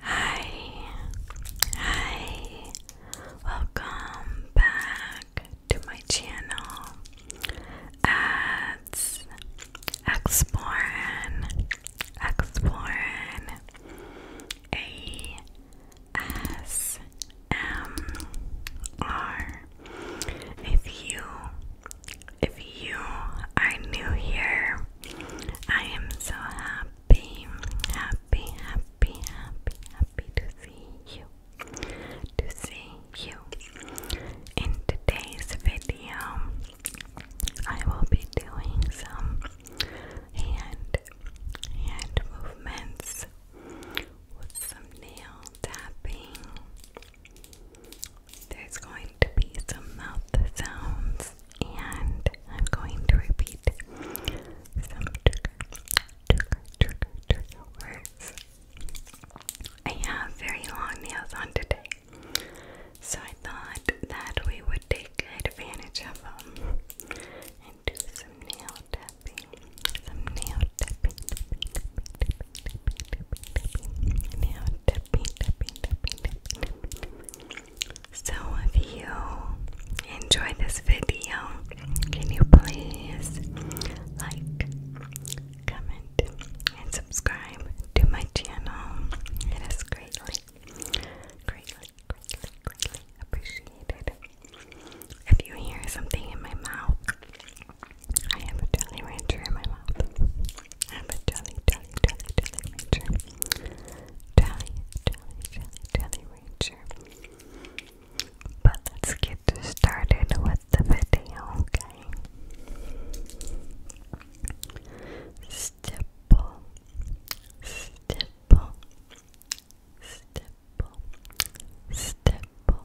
Hi, hi, welcome back to my channel. Ads, Explorin, Explorin, A S M R. If you, if you are new here, I am so happy, happy, happy, happy, happy to see you, to see you. In today's video, I will be doing some hand, hand movements with some nail tapping there's going to be some mouth sounds, and I'm going to repeat some words. I have very long nails on today, so I thought that we would take advantage of them and do some nail tapping. Some tapping, so if you enjoy this video, can you please like, comment, and subscribe to my channel? It is greatly, greatly, greatly, greatly appreciated. If you hear something in my mouth, I have a jelly rancher in my mouth. I'm a jolly, jolly, jolly, jolly ranger. Jolly, jolly, jolly, jolly ranger. But let's get started with the video, okay? Stipple, stipple, stipple, stipple,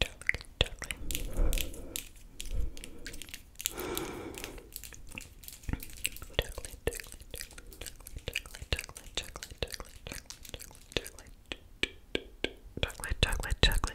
totally, totally, totally, Chocolate, chocolate, chocolate.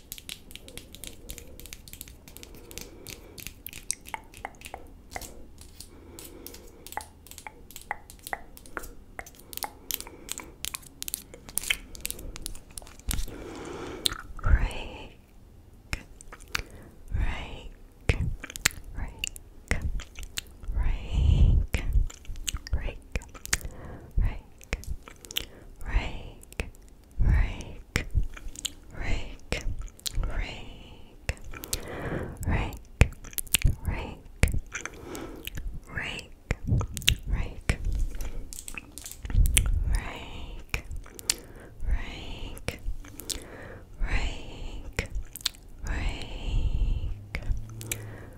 Rake, rake, rake, rake, rake, rake, rake, rake, rake, rake, rake, rake, rake, rake, rake, rake, rake, rake,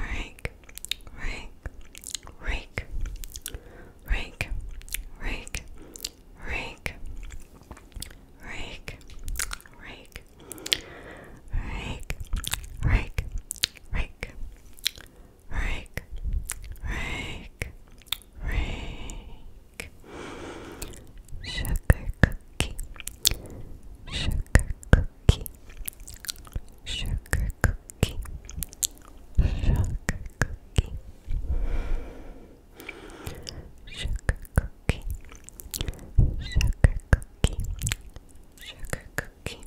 rake, rake, rake, rake, rake, rake, rake, rake, rake, rake, rake, rake, rake, rake, sugar cookie, sugar cookie cookie, sugar cookie, sugar cookie, sugar cookie, sugar cookie, sugar cookie, sugar cookie,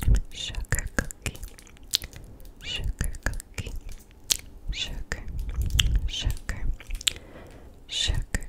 sugar cookie, sugar, sugar, sugar,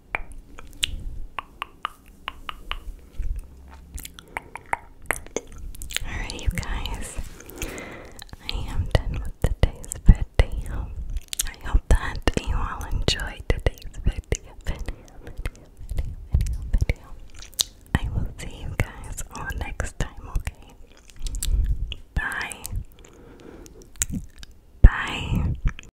Alright, you guys, I am done with today's video. I hope that you all enjoyed today's video, I will see you guys all next time, okay? Bye. Bye.